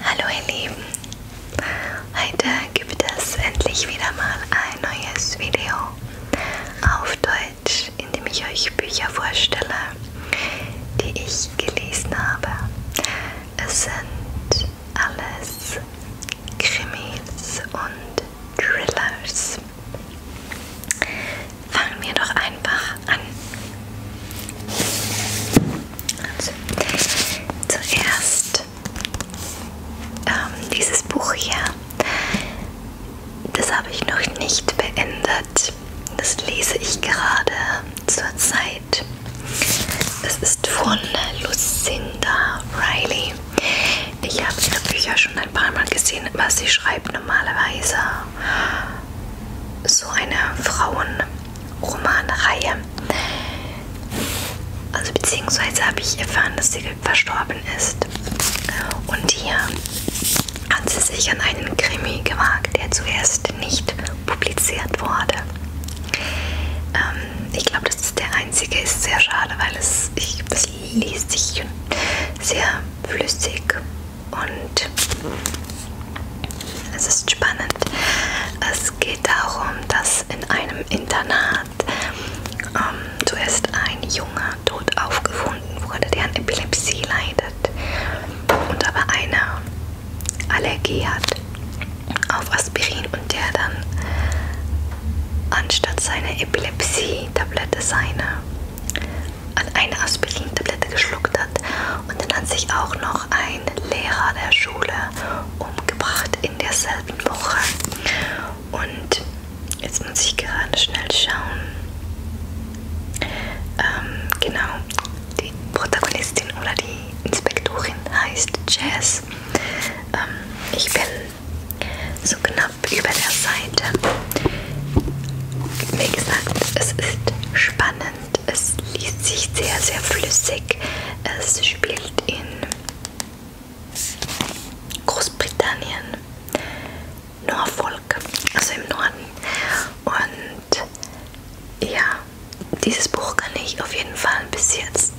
Hallo ihr Lieben, heute gibt es endlich wieder mal ein neues Video auf Deutsch, in dem ich euch Bücher vorstelle, die ich gelesen habe. Es sind alles Krimis und Thrillers. Fangen wir doch einfach an. Also, zuerst ähm, dieses Buch hier. Das habe ich noch nicht beendet. Das lese ich gerade zur Zeit. Das ist von Lucinda Riley. Ich habe ihre Bücher schon ein paar Mal gesehen, aber sie schreibt normalerweise so eine Frauen- Romanreihe. Also beziehungsweise habe ich erfahren, dass sie verstorben ist. Und hier hat sie sich an einen Krimi gewagt, der zuerst nicht publiziert wurde. Ähm, ich glaube, das ist der einzige, ist sehr schade, weil es, ich, es liest sich sehr flüssig und es ist spannend. Es geht darum, dass in einem Internat ähm, zuerst ein Junge tot aufgefunden wurde, der an Epilepsie leidet und aber eine Allergie hat auf Aspirin und der dann anstatt seiner Epilepsie-Tablette seine an eine Aspirin-Tablette geschluckt hat und dann hat sich auch noch ein Lehrer der Schule umgebracht in derselben Woche. Und jetzt muss ich gerade schnell schauen. Ähm, genau, die Protagonistin oder die Inspektorin heißt Jazz. Ähm, ich bin so knapp über der Seite. Wie gesagt, es ist spannend und es liest sich sehr, sehr flüssig. Es spielt in Großbritannien, Norfolk, also im Norden. Und ja, dieses Buch kann ich auf jeden Fall bis jetzt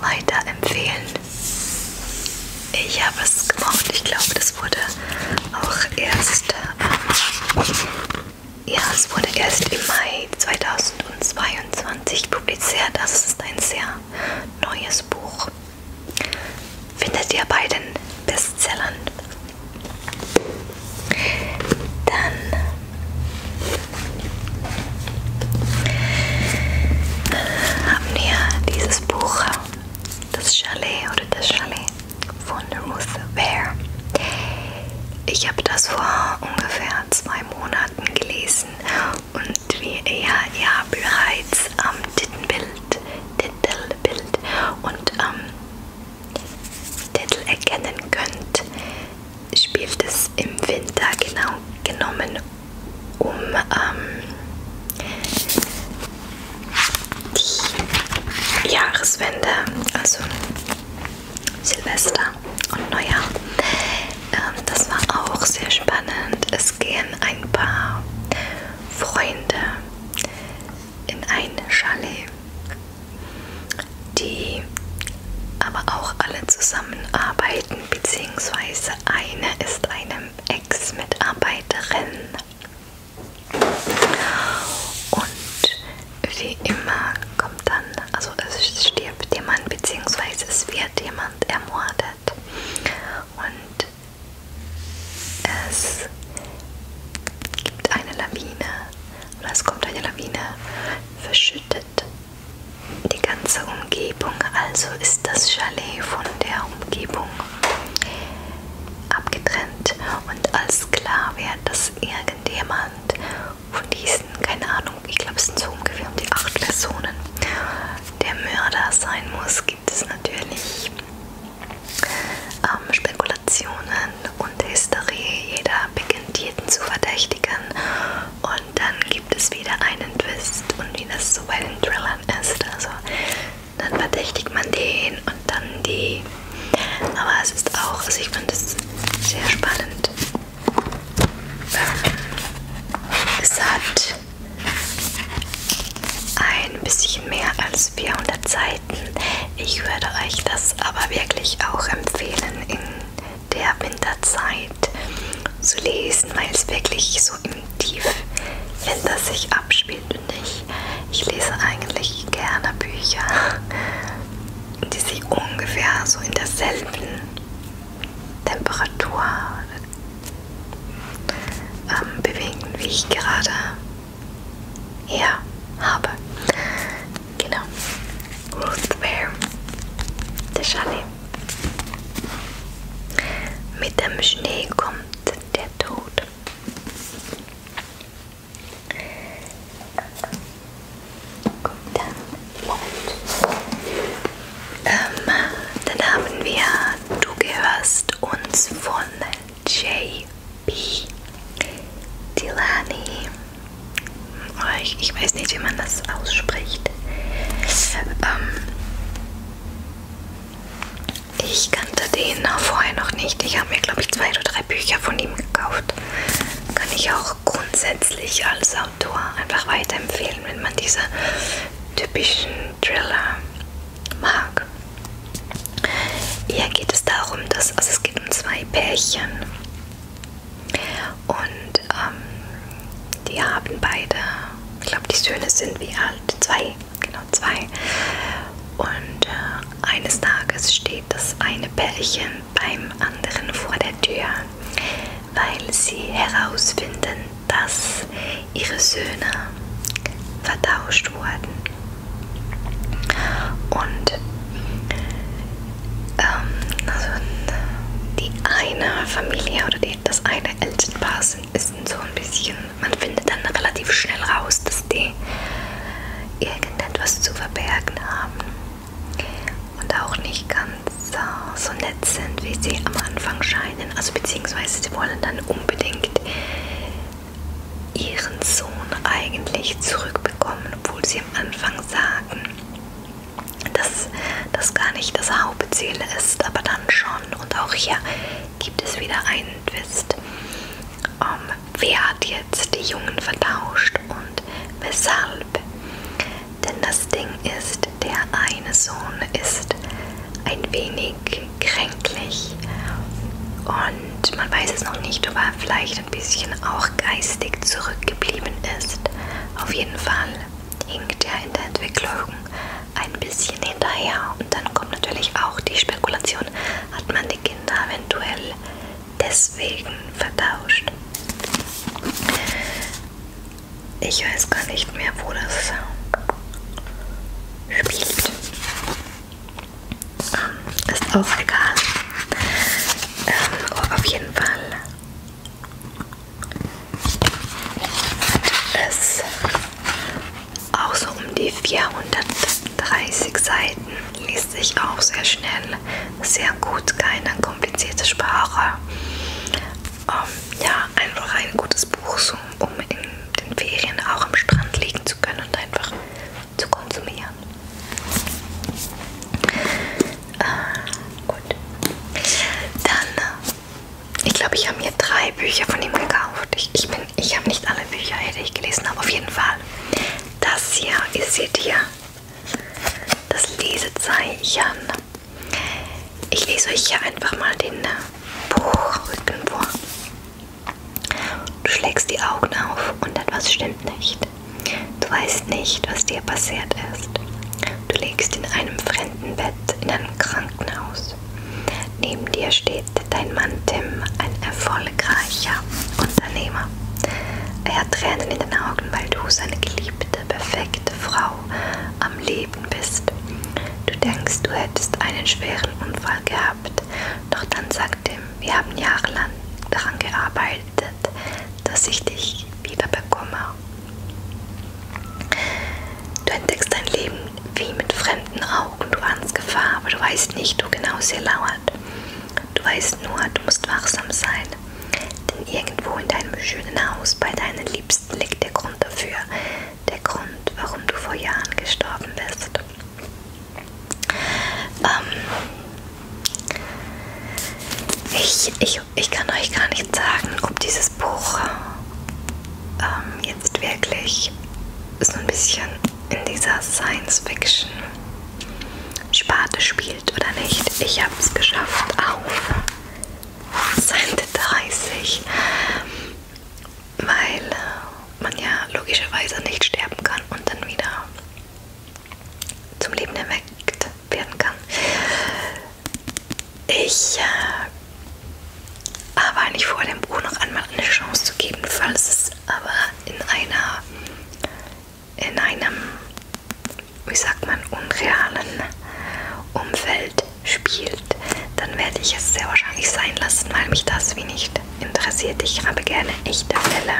weiterempfehlen. Ich habe es gemocht. Ich glaube, das wurde auch erst ähm, ja, es wurde erst im Mai 2022 publiziert, also es ist ein sehr neues Buch. Findet ihr bei den Bestsellern. Dann äh, haben wir dieses Buch, das Chalet oder das Chalet von Ruth Ware. Ich habe das vor ungefähr zwei Monaten gelesen und wie ihr ja bereits am Titelbild, Titelbild und am ähm, Titel erkennen könnt, spielt es im Winter genau genommen um ähm, die Jahreswende, also Silvester und Neujahr. Ähm, das war auch sehr spannend. Es gehen ein paar Freunde in ein Chalet, die aber auch alle zusammenarbeiten, beziehungsweise eine ist eine Ex-Mitarbeiterin. Und wie immer kommt dann, also es stirbt jemand bzw. es wird jemand ermordet und es gibt eine Lawine oder es kommt eine Lawine, verschüttet die ganze Umgebung, also ist das Chalet von der Umgebung abgetrennt und als klar wird, dass irgendjemand und von diesen, keine Ahnung, ich glaube es sind so ungefähr um die acht Personen, der Mörder sein muss, gibt es natürlich ähm, Spekulationen und Hysterie. Jeder beginnt jeden zu verdächtigen und dann gibt es wieder einen Twist und wie das so bei den Thrillern ist. Also dann verdächtigt man den und dann die aber es ist auch, also ich finde es sehr spannend. Ähm, es hat ein bisschen mehr als 400 Seiten. Ich würde euch das aber wirklich auch empfehlen, in der Winterzeit zu lesen, weil es wirklich so im Tiefwinter sich abspielt. Und ich, ich lese eigentlich gerne Bücher die sich ungefähr so in derselben Temperatur ähm, bewegen, wie ich gerade hier habe. Genau. Ruth Ware, der Chalet. Mit dem Schnee kommt der Tod. Gut, dann, ähm, dann haben wir Du gehörst uns von J.B. Dilani. Oh, ich, ich weiß nicht, wie man das ausspricht. Ähm, ich kannte den vorher noch nicht. Ich habe mir, glaube ich, zwei oder drei Bücher von ihm gekauft kann ich auch grundsätzlich als Autor einfach weiterempfehlen, wenn man diese typischen Thriller mag. Hier geht es darum, dass also es geht um zwei Pärchen und ähm, die haben beide, ich glaube die Söhne sind wie alt, zwei, genau zwei. Und äh, eines Tages steht das eine Pärchen beim anderen vor der Tür, weil sie herausfinden, dass ihre Söhne vertauscht wurden. Und ähm, also die eine Familie oder die, das eine Elternpaar sind, ist so ein bisschen, man findet dann relativ schnell raus, dass die irgendetwas zu verbergen haben und auch nicht ganz äh, so nett sind, wie sie am Anfang scheinen. Also beziehungsweise sie wollen dann unbedingt ihren Sohn eigentlich zurückbekommen, obwohl sie am Anfang sagen, dass das gar nicht das Hauptziel ist, aber dann schon. Und auch hier gibt es wieder einen Twist. Um, ähm, wer hat jetzt die Jungen vertauscht und weshalb? Denn das Ding ist, der eine Sohn ist ein wenig kränklich und man weiß es noch nicht, ob er vielleicht ein bisschen auch geistig zurückgeblieben ist. Auf jeden Fall hinkt er in der Entwicklung ein bisschen hinterher und dann kommt natürlich auch die Spekulation, hat man die Kinder eventuell deswegen vertauscht. Ich weiß gar nicht mehr, wo das spielt. Ähm, ist auch egal. Ähm, auf jeden Fall hat es auch so um die 430 Seiten liest sich auch sehr schnell, sehr gut, keine komplizierte Sprache. Ähm, ja, einfach ein gutes Buch, so, um in den Ferien auch am Strand liegen zu können und einfach zu konsumieren. Äh, gut. Dann, äh, ich glaube, ich habe mir drei Bücher von ihm gekauft. Ich, ich, ich habe nicht alle Bücher hätte ich gelesen, aber auf jeden Fall das hier, ihr seht hier das Lesezeichen. Ich lese euch hier einfach mal den Buchrücken vor. Du schlägst die Augen auf und etwas stimmt nicht. Du weißt nicht, was dir passiert ist. Du liegst in einem fremden Bett in einem Krankenhaus. Neben dir steht dein Mann Tim, ein erfolgreicher Unternehmer. Er hat Tränen in den Augen, weil du seine geliebte, perfekte Frau am Leben bist. Du denkst, du hättest einen schweren Unfall gehabt, doch dann sagt ihm, wir haben jahrelang daran gearbeitet, dass ich dich wieder bekomme. Du entdeckst dein Leben wie mit fremden Augen, du ahnst Gefahr, aber du weißt nicht, wo genau sie lauert. Du weißt nur, du musst wachsam sein, denn irgendwo in deinem schönen Haus bei deinen Liebsten liegt der Grund dafür, der Grund, warum du vor Jahren gestorben bist. Ähm, ich, ich, ich kann euch gar nicht sagen, ob dieses Buch ähm, jetzt wirklich so ein bisschen in dieser Science-Fiction Sparte spielt oder nicht. Ich habe es geschafft auf Seite 30, weil äh, man ja logischerweise nicht sterben kann und dann wieder zum Leben erweckt werden kann. Ich äh, habe eigentlich vor, dem Buch noch einmal eine Chance zu geben, falls es aber in einer in einem, wie sagt man, unrealen Umfeld spielt, dann werde ich es sehr wahrscheinlich sein lassen, weil mich das wie nicht interessiert. Ich habe gerne echte Fälle,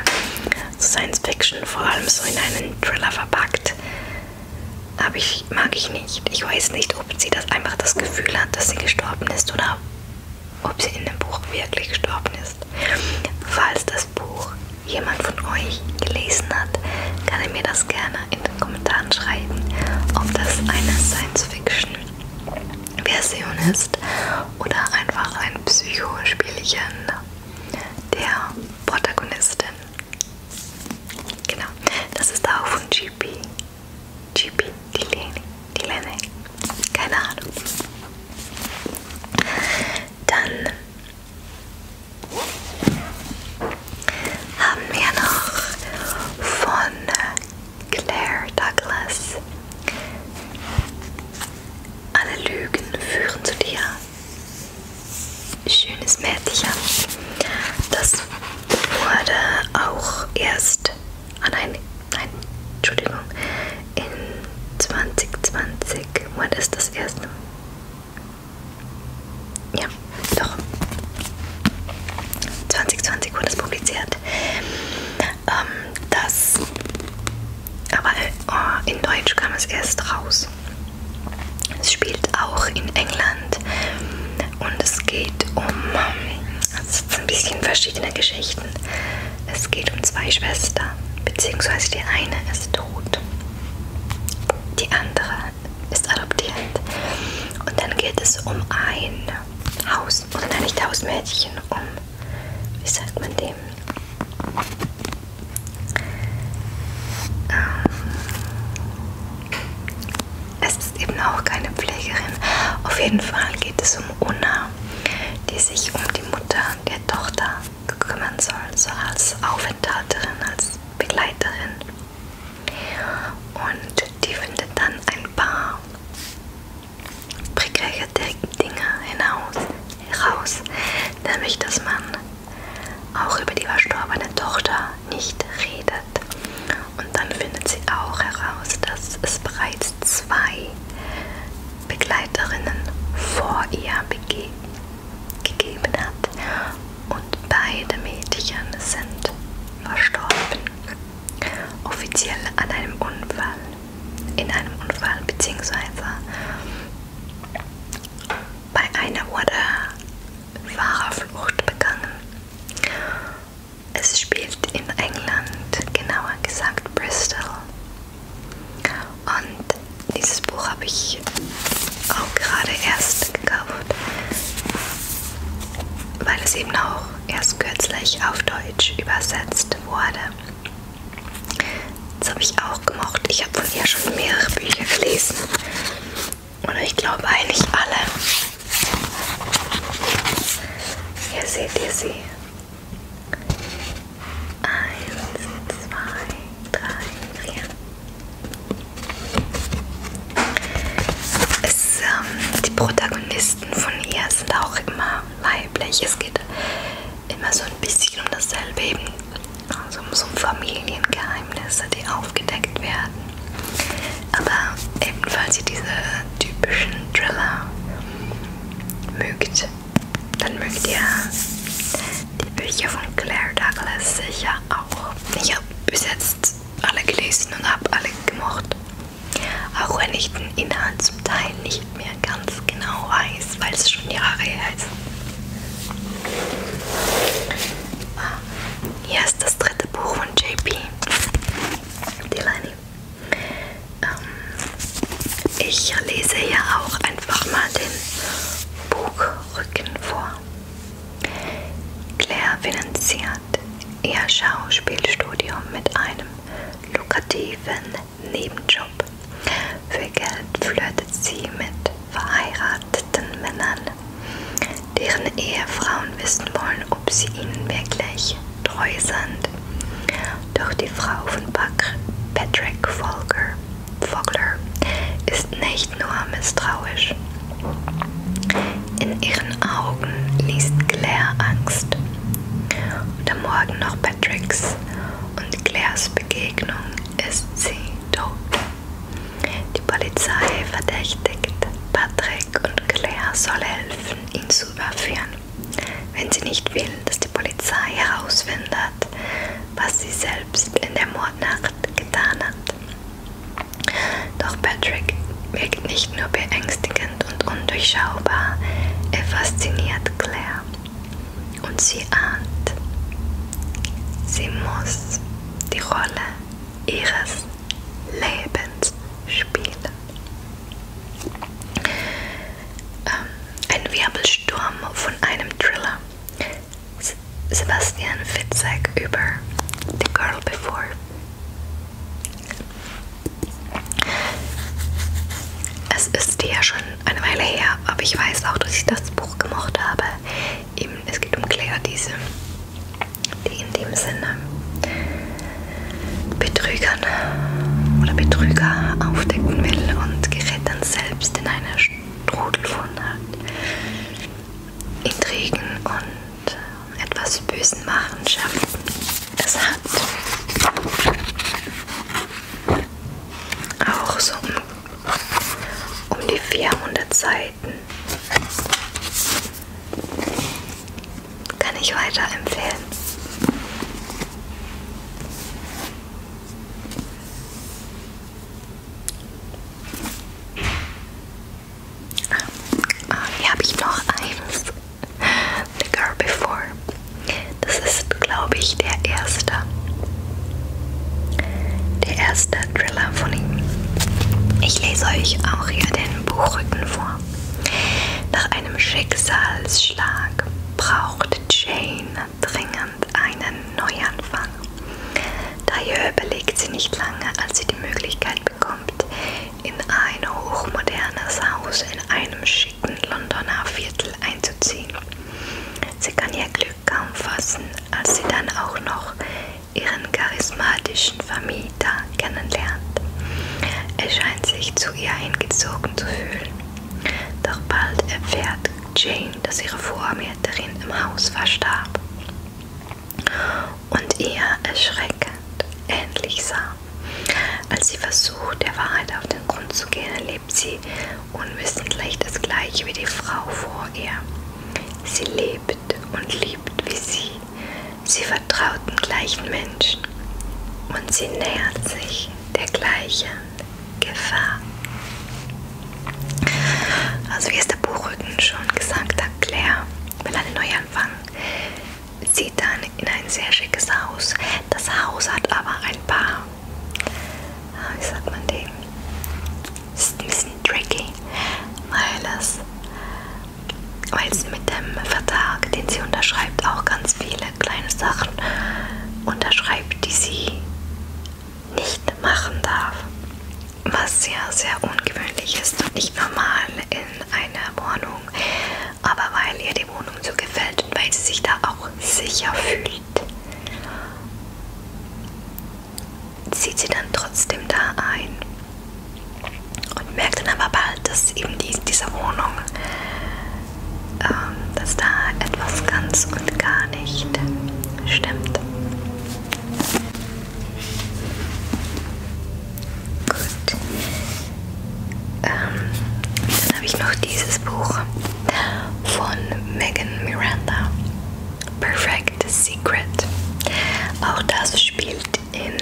so Science Fiction, vor allem so in einen Thriller verpackt. Aber ich mag ich nicht. Ich weiß nicht, ob sie das einfach das Gefühl hat, dass sie gestorben ist oder ob sie in dem Buch wirklich gestorben ist. Falls das Buch jemand von euch gelesen hat, kann er mir das gerne in den Kommentaren schreiben, ob das eine Science-Fiction-Version ist oder einfach ein Psychospielchen der Protagonistin. Genau, das ist auch von GP. GP, die Lene, die Lene, keine Ahnung. Dann haben wir noch von Claire Douglas. Alle Lügen führen zu dir. Schönes Mädchen. Das wurde auch erst an ein nein, Entschuldigung, in 2020, wann ist das erste? Ja, doch. 2020 wurde es publiziert. Ähm, das, aber äh, in Deutsch kam es erst raus. Es spielt auch in England und es geht um, es sind ein bisschen verschiedene Geschichten. Es geht um zwei Schwestern, beziehungsweise die eine ist tot, die andere ist adoptiert. Und dann geht es um ein Haus, oder nein, nicht Hausmädchen, um, wie sagt man dem? Ähm, es ist eben auch keine Pflegerin. Auf jeden Fall geht es um Una, die sich um die Mutter Erziehung der Tochter kümmern soll, so als Aufenthalterin, als Begleiterin. Und die findet dann ein paar prekäre Dinge hinaus, heraus, nämlich dass man auch über die verstorbene Tochter nicht redet. Und dann findet sie auch heraus, dass es bereits zwei Begleiterinnen vor ihr begeben, gegeben hat und beide Mädchen sind verstorben. Offiziell an einem Unfall, in einem Unfall bzw. bei einer wurde Fahrerflucht begangen. Es spielt in England, genauer gesagt Bristol. Und dieses Buch habe ich auch gerade erst gekauft, weil es eben auch erst kürzlich auf Deutsch übersetzt wurde. Das habe ich auch gemocht. Ich habe von ihr schon mehrere Bücher gelesen. Oder ich glaube eigentlich alle. Hier seht ihr sie. Eins, zwei, drei, vier. Es, ähm, die Protagonisten von ihr sind auch immer weiblich. Es geht immer so ein bisschen um dasselbe eben. Also um so Familiengeheimnisse, die aufgedeckt werden. Aber ebenfalls ihr diese typischen Thriller mögt, dann mögt ihr die Bücher von Claire Douglas sicher auch. Ich habe bis jetzt alle gelesen und habe alle gemocht. Auch wenn ich den Inhalt zum Teil nicht mehr ganz genau weiß, weil es schon Jahre her ist. Ah, hier ist das dritte Buch von JP. Die Leine ähm, ich lese hier auch einfach mal den Buchrücken vor. Claire finanziert ihr Schauspielstudium mit einem lukrativen Nebenjob. Für Geld flirtet sie mit verheirateten Männern, deren Ehefrauen wissen wollen, ob sie ihnen wirklich treu sind. Doch die Frau von Patrick Vogler, Vogler ist nicht nur misstrauisch. In ihren Augen liest Claire Angst. Und am Morgen noch Patricks und Claires Begegnung ist sie tot. Die Polizei verdächtigt Patrick und Claire soll helfen, ihn zu überführen wenn sie nicht will, dass die Polizei herausfindet, was sie selbst in der Mordnacht getan hat. Doch Patrick wirkt nicht nur beängstigend und undurchschaubar, er fasziniert Claire. Und sie ahnt, sie muss die Rolle ihres Lebens spielen. Ähm, ein Wirbelsturm von einem Thriller. Sebastian Fitzek über The Girl Before. Es ist ja schon eine Weile her, aber ich weiß auch, dass ich das Buch gemocht habe. Eben, es geht um Claire Diese, die in dem Sinne Betrügern oder Betrüger aufdecken will und gerät dann selbst in eine Strudel von Intrigen und etwas bösen Machenschaften. Es hat auch so um, um die 400 Seiten kann ich weiterempfehlen. Ah, hier habe ich noch eins. The Girl Before. Das ist, glaube ich, der erste. Der erste Thriller von ihm. Ich lese euch auch hier den Buchrücken vor. Nach einem Schicksalsschlag braucht Jane dringend einen Neuanfang. Daher überlegt sie nicht lange, als sie die Möglichkeit bekommt, in ein hochmodernes Haus in einem schicken Londoner Viertel einzuziehen. Sie kann ihr Glück kaum fassen, als sie dann auch noch ihren charismatischen Vermieter kennenlernt. Er scheint sich zu ihr hingezogen zu fühlen doch bald erfährt Jane, dass ihre Vormieterin im Haus verstarb und ihr erschreckend ähnlich sah. Als sie versucht, der Wahrheit auf den Grund zu gehen, erlebt sie unwissentlich das gleiche wie die Frau vor ihr. Sie lebt und liebt wie sie. Sie vertraut den gleichen Menschen und sie nähert sich der gleichen Gefahr. Also wie es der Buchrücken schon gesagt hat, Claire will einen Neuanfang. Sieht dann in ein sehr schickes Haus. Das Haus hat aber ein paar, ah, wie sagt man dem, ist ein bisschen tricky, weil es weil es mit dem Vertrag, den sie unterschreibt, auch ganz viele viele kleine Sachen unterschreibt, die sie nicht machen darf. Was sehr, sehr ungewöhnlich ist und nicht normal in einer Wohnung. Aber weil ihr die Wohnung so gefällt und weil sie sich da auch sicher fühlt, zieht sie dann trotzdem da ein. Und merkt dann aber bald, dass eben die, diese Wohnung ähm, dass da etwas ganz und gar nicht stimmt. Gut. Ähm, dann habe ich noch dieses Buch von Megan Miranda. Perfect Secret. Auch das spielt in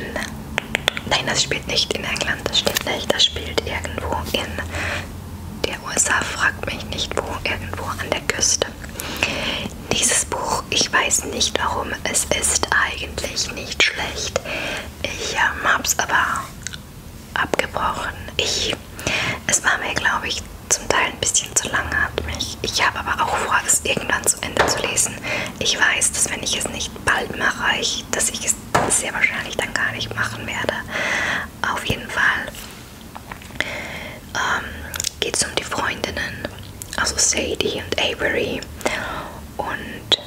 Nein, das spielt nicht in England, das steht nicht. Das spielt irgendwo in der USA, fragt mich nicht wo, irgendwo an der Küste. Dieses Buch, ich weiß nicht warum, es ist eigentlich nicht schlecht. Ich ähm, habe es aber abgebrochen. Ich, es war mir, glaube ich, zum Teil ein bisschen zu lange, hat mich. Ich habe aber auch vor, es irgendwann zu Ende zu lesen. Ich weiß, dass wenn ich es nicht bald mache, ich, dass ich es jetzt sehr wahrscheinlich dann gar nicht machen werde. Auf jeden Fall ähm, geht es um die Freundinnen, also Sadie und Avery. Und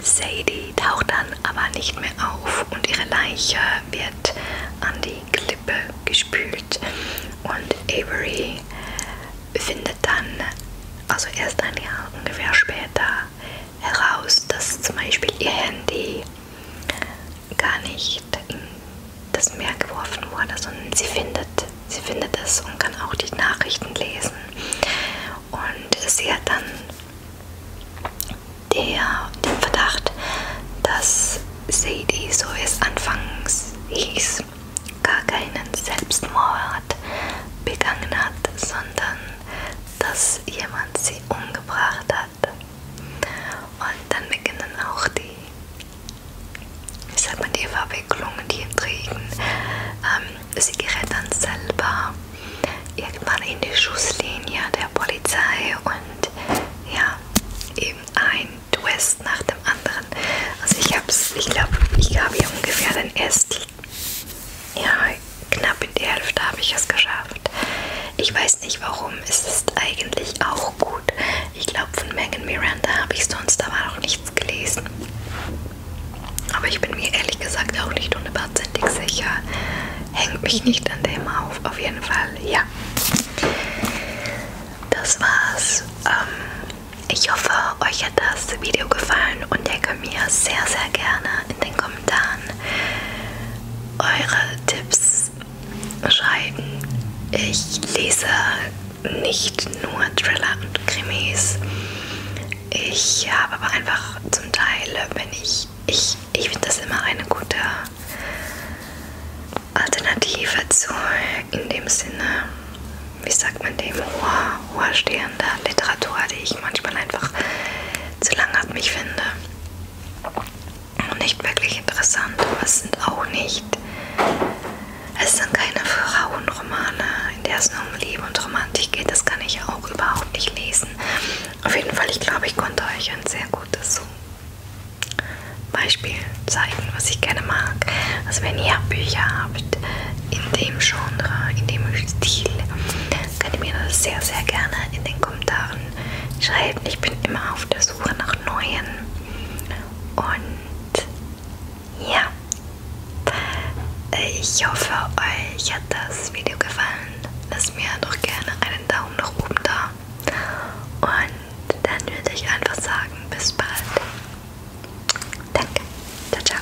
Sadie taucht dann aber nicht mehr auf und ihre Leiche wird an die Klippe gespült. Und Avery findet dann, also erst ein Jahr ungefähr später, heraus, dass zum Beispiel ihr Handy gar nicht in das Meer geworfen wurde, sondern sie findet, sie findet es und kann auch die Nachrichten lesen. Und sie hat dann der, den Verdacht, dass Sadie, so es anfangs hieß, gar keinen Selbstmord begangen hat, sondern dass jemand sie umgebracht hat. Und dann beginnen auch die, ich sag mal, die Verwicklungen, die Intrigen. Ähm, sie gerät dann selber irgendwann in die Schusslinie der Polizei und ja, eben ein Twist nach dem anderen. Also ich hab's, ich glaube, ich habe hier ungefähr den ersten ja, knapp in die Hälfte habe ich es geschafft. Ich weiß nicht warum, es ist eigentlich auch gut. Ich glaube, von Megan Miranda habe ich sonst aber noch nichts gelesen. Aber ich bin mir ehrlich gesagt auch nicht hundertprozentig sicher. Hängt mich nicht an dem auf, auf jeden Fall, ja. Das war's. Ähm, ich hoffe, euch hat das Video gefallen und ihr könnt mir sehr, sehr gerne in den Kommentaren dann eure Tipps schreiben. Ich lese nicht nur Thriller und Krimis. Ich habe aber einfach zum Teil, wenn ich, ich, ich finde das immer eine gute Alternative zu, in dem Sinne, wie sagt man dem, Horror hoherstehender Literatur, die ich manchmal einfach zu langatmig finde und nicht wirklich interessant, aber es sind auch nicht, es sind keine Frauenromane, in der es nur um Liebe und Romantik geht, das kann ich auch überhaupt nicht lesen. Auf jeden Fall, ich glaube, ich konnte euch ein sehr gutes Beispiel zeigen, was ich gerne mag. Also wenn ihr Bücher habt, in dem Genre, in dem Stil, könnt ihr mir das sehr, sehr gerne in den Kommentaren schreiben. Ich bin immer auf der Suche nach neuen. Und ja, ich hoffe, euch hat das Video gefallen. Lasst mir doch gerne einen Daumen nach oben da. Und dann würde ich einfach sagen, bis bald. Danke. Ciao, ciao.